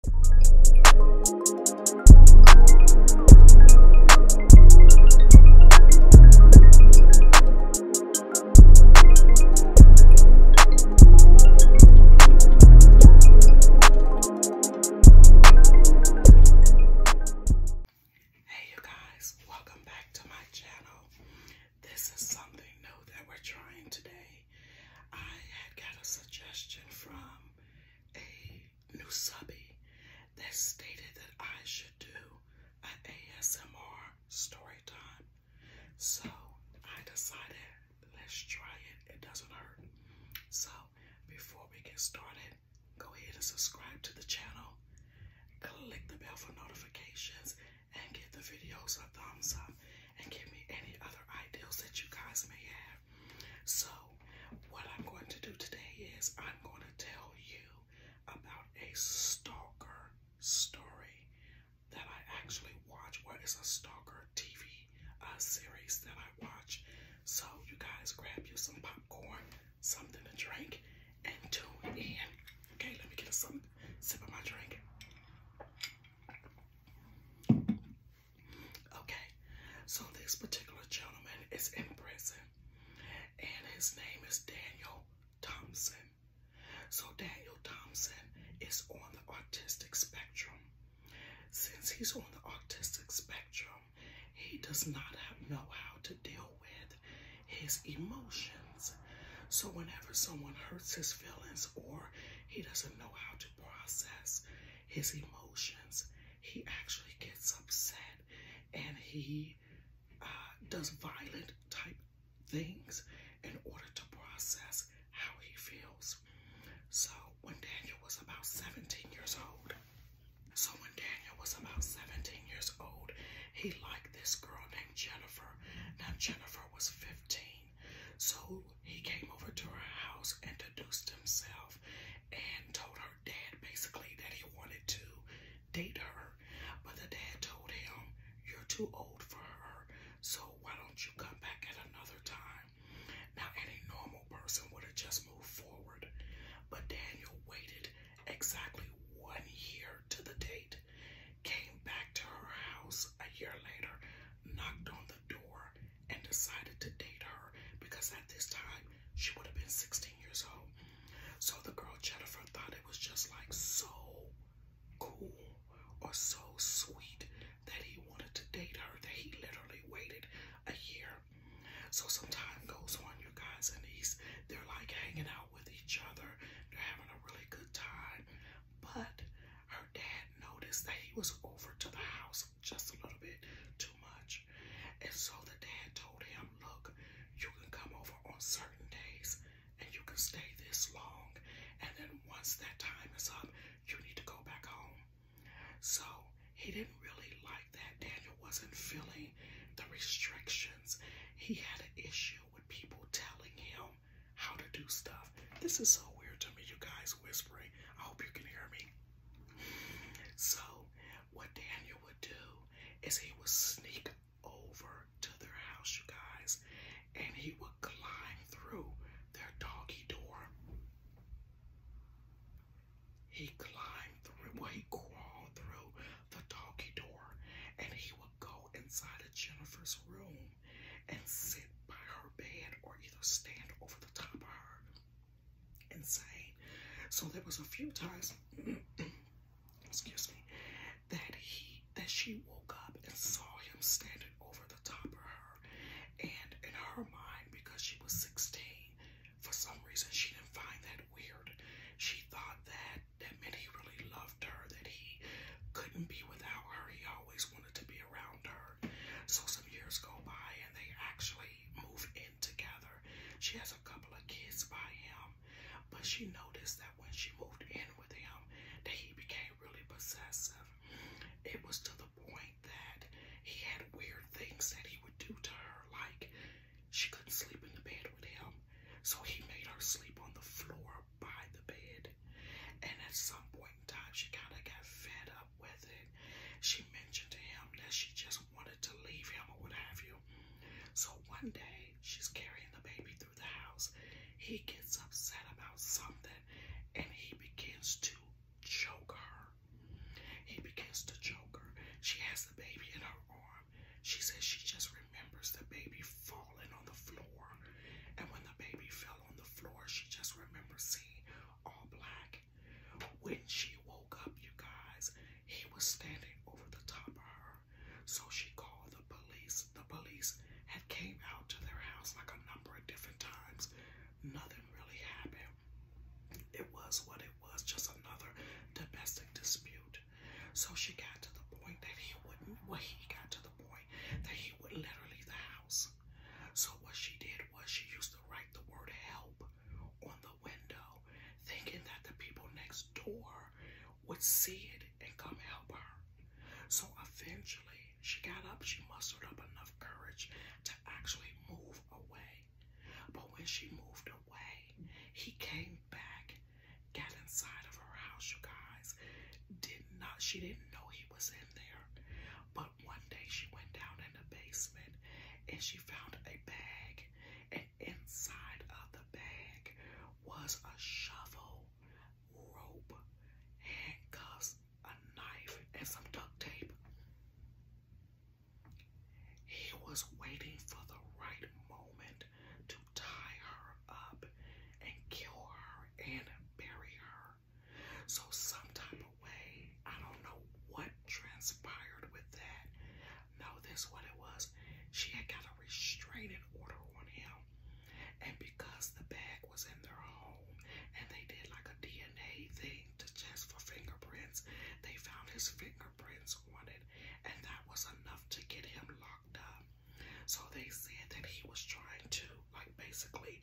Hey you guys, welcome back to my channel. This is something new that we're trying today. I had got a suggestion from a new subby that stated that I should do an ASMR story time. So I decided let's try it. It doesn't hurt. So before we get started, go ahead and subscribe to the channel. Click the bell for notifications and give the videos a thumbs up and give me any other ideas that you guys may have. So, what I'm going to do today is I'm going to tell you about a stalker story that I actually watch. What is a stalker TV uh, series that I watch? So, you guys grab you some popcorn, something to drink, and tune in. Okay, let me get a some, sip of my drink. Okay, so this particular gentleman is in prison, and his name is Daniel Thompson. So, Daniel Thompson is on the autistic spectrum. Since he's on the autistic spectrum, he does not know how to deal with his emotions. So, whenever someone hurts his feelings or he doesn't know how to process his emotions. He actually gets upset and he uh, does violent type things in order to process how he feels. So when Daniel was about 17 years old, so when Daniel was about 17 years old, he liked this girl named Jennifer. Now Jennifer was 15. So he came over to her house, and introduced himself, and told her dad basically that he wanted to date her. But the dad told him, You're too old for her, so why don't you come back at another time? Now, any normal person would have just moved forward, but Daniel waited exactly one year to the date, came back to her house a year later knocked on the door, and decided to date her because at this time she would have been 16 years old. So the girl Jennifer thought it was just like so cool or so sweet that he wanted to date her that he literally waited a year. So some time goes on, you guys, and he's they're like hanging out with each other, they're having a really good time. But her her dad noticed that he was over to the house just a little bit too much. And so the dad told him, Look, you can come over on certain days and you can stay this long. And then once that time is up, you need to go back home. So he didn't really like that. Daniel wasn't feeling the restrictions. He had an issue with people telling him um, how to do stuff. This is so weird to me, you guys whispering. I hope you can hear me. So, what Daniel would do is he would sneak over to their house, you guys, and he would climb through their doggy door. He climbed through, well, he crawled through the doggy door, and he would go inside of Jennifer's room and sit by her bed or either stand over the top of her and say. So there was a few times, excuse me, that he that she woke up and saw him standing over the top of her, and in her mind, because she was 16, for some reason she didn't find that weird. She thought that that meant he really loved her, that he couldn't be without her. He always always wanted to be around her. So some years go by and they actually move in together. She has a couple of kids by him, but she noticed that when she moved in with him, that he became really possessive. It was to the point that he had weird things that he would do to her, like she couldn't sleep in the bed with him. So he made her sleep on the floor by the bed. And at some point in time, she kind of got fed up with it. She mentioned to him that she just wanted to leave him or what have you. So one day, she's carrying the baby through the house. He gets upset about something and he begins to choke her. He begins to choke her. She has the baby in her arm. She says she just remembers the baby falling falling on the floor. And when the baby fell on the floor, she just remembers seeing all black. When she woke up, you guys, he was standing over the top of her. So she called the police. The police had came out to their house like a number of different times. Nothing really happened. It was what it was, just another domestic dispute. So she got to the point that he wouldn't well, he got to point that he would literally the house. So what she did was she used to write the word help on the window, thinking that the people next door would see it and come help her. So eventually she got up, she mustered up enough courage to actually move away. But when she moved away, he came back got inside of her house, you guys. Did not, she didn't know he was in there. But one day she went down in the basement and she found a bag, and inside of the bag was a shovel, rope, handcuffs, a knife, and some duct tape. He was waiting for the right moment to tie her up and kill her and bury her. So sometime away, I don't know what transpired with that. No, this what it was. She had got a restraining order on him. And because the bag was in their home and they did like a DNA thing to test for fingerprints, they found his fingerprints on it. And that was enough to get him locked so they said that he was trying to, like, basically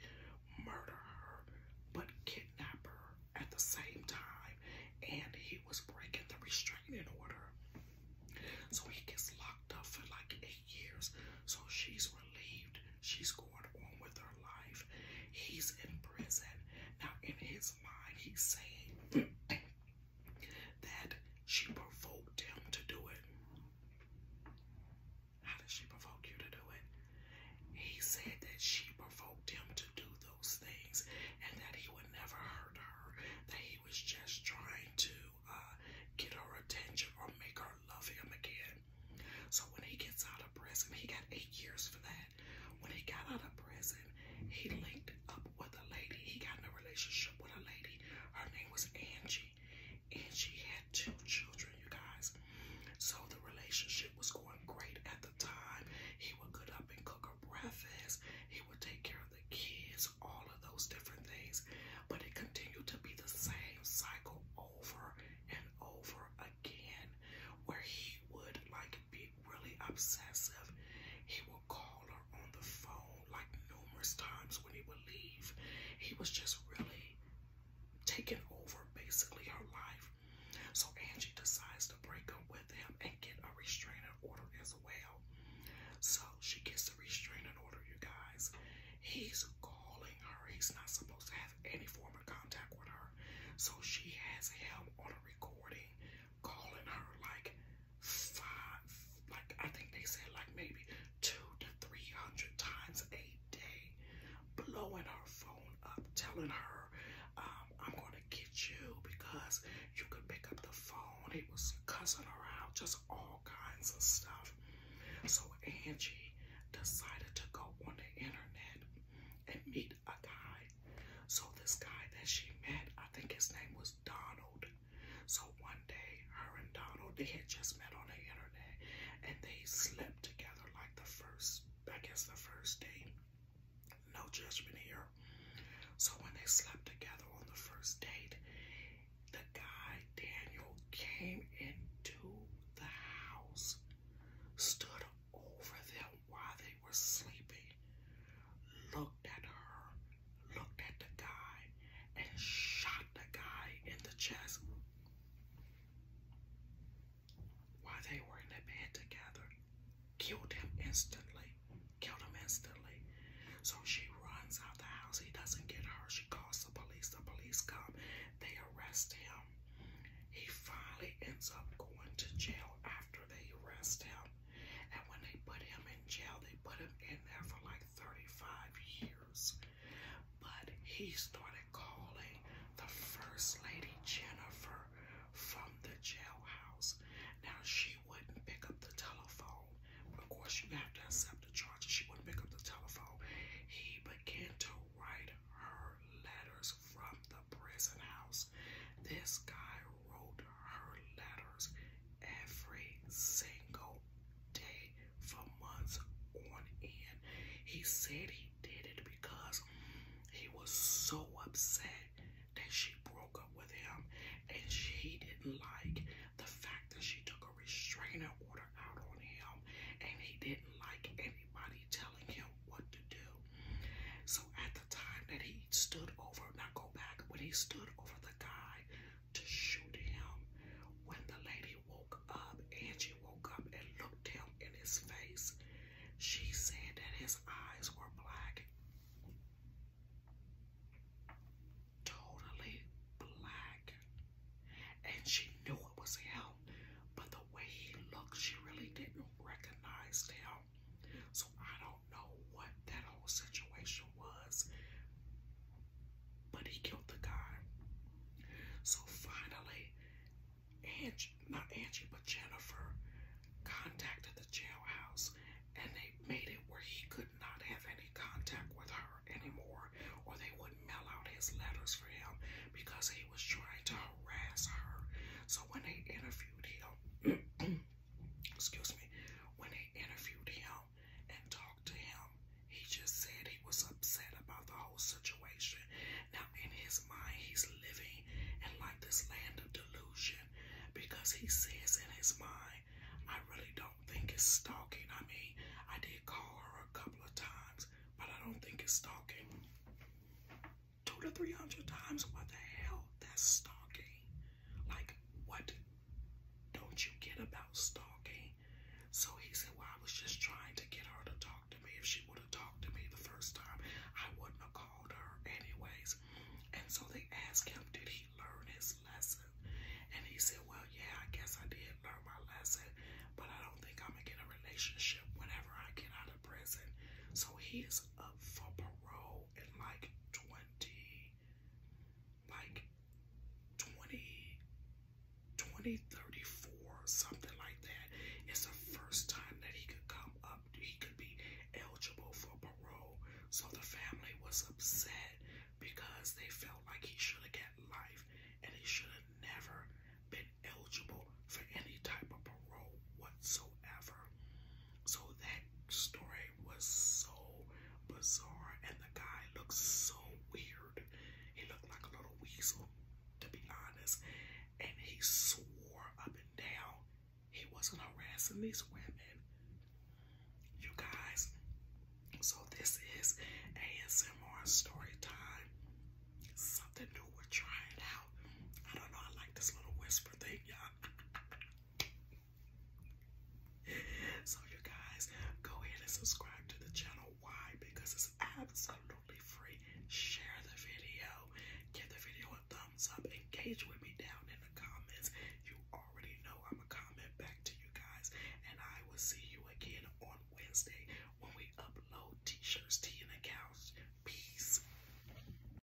murder her, but kidnap her at the same time. And he was breaking the restraining order. So he gets locked up for like eight years. So she's relieved. She's going on with her life. He's in prison. Now, in his mind, he's saying, that she provoked him to do it. How did she provoke you to do it? He said that she provoked him to do those things and that he would never hurt her, that he was just trying to uh, get her attention or make her love him again. So when he gets out of prison, he got eight years for that. When he got out of prison, he linked up up with a lady. He got in a relationship with a lady. Her name was Angie. And she had two children, you guys. So the relationship was going great at the time. He would get up and cook her breakfast. He would take care of the kids, all of those different things. But it continued to be the same cycle over and over again, where he would like be really obsessive. He would call her on the phone like numerous times when he would leave. He was just really taking over basically her life. So Angie decides to break up with him and get a restraining order as well. So she gets the restraining order, you guys. He's calling her. He's not supposed to have any form of contact with her. So she has him on a recording calling her like five, like I think they said like maybe two to 300 times a day, blowing her phone up, telling her, um, I'm going to get you because you could pick up the phone. He was cussing her out, just all kinds of stuff. So Angie decided to go on the internet and meet a guy. So this guy that she met, I think his name was Donald. So one day, her and Donald, they had just met on the internet and they slept together like the first, back as the first date. No judgment here. So when they slept together on the first date, the guy, Daniel, came into the house, stood over them while they were sleeping, looked at her, looked at the guy, and shot the guy in the chest while they were in the bed together. Killed him instantly. Killed him instantly. So she runs out the house. He doesn't get her. She calls the police. The police come. They arrest him. He finally ends up going to jail after they arrest him. And when they put him in jail, they put him in there for like 35 years. But he started calling the First Lady Jennifer from the jailhouse. Now, she wouldn't pick up the telephone. Of course, you have to accept the charges. She wouldn't pick up the telephone. He began to write her letters from the prison house. This guy wrote her letters every single day for months on end. He said he did it because he was so upset that she broke up with him and she didn't like the fact that she took a restraining order out on him and he didn't like anybody telling him what to do. So at time that he stood over, now go back, when he stood over the guy to shoot him, when the lady woke up, Angie woke up and looked him in his face, she said that his eyes were black. Totally black. And she knew it was him, but the way he looked, she really didn't recognize him. So I don't know what that whole situation was, but he killed the guy. So finally, Angie, not Angie, but Jennifer contacted the jailhouse and they made it where he could not have any contact with her anymore or they would mail out his letters for him because he was trying to harass her. So when they interviewed him, excuse me, when they interviewed him and talked to him, he just said he was upset about the whole situation. Now, in his mind, he's living in like this land of delusion because he says in his mind, I really don't think it's stalking. I mean, I did call her a couple of times, but I don't think it's stalking. Two to three hundred times, what the hell? That's stalking. Like, what don't you get about stalking? So he said, Well, I was just trying to get her to talk to me. If she would have talked to me the first time, I wouldn't have called her, anyways. And so they asked him, Did he learn his lesson? And he said, Well, yeah, I guess I did learn my lesson, but I don't think I'm gonna get a relationship whenever I get out of prison. So he is up for parole in like twenty like 20 2034 something like that. It's the first time that he could come up he could be eligible for parole. So the family was upset because they felt like he should have got life and he should have never been eligible for any type of parole whatsoever. So that story was so bizarre, and the guy looked so weird. He looked like a little weasel, to be honest. And he swore up and down he wasn't harassing these women. You guys, so this is ASMR story time. Something new, we're trying out. I don't know, I like this little whisper thing, y'all. So you guys go ahead and subscribe to the channel. Why? Because it's absolutely free. Share the video. Give the video a thumbs up. Engage with me down in the comments. You already know I'm a comment back to you guys. And I will see you again on Wednesday when we upload t-shirts, tea, and accounts. Peace.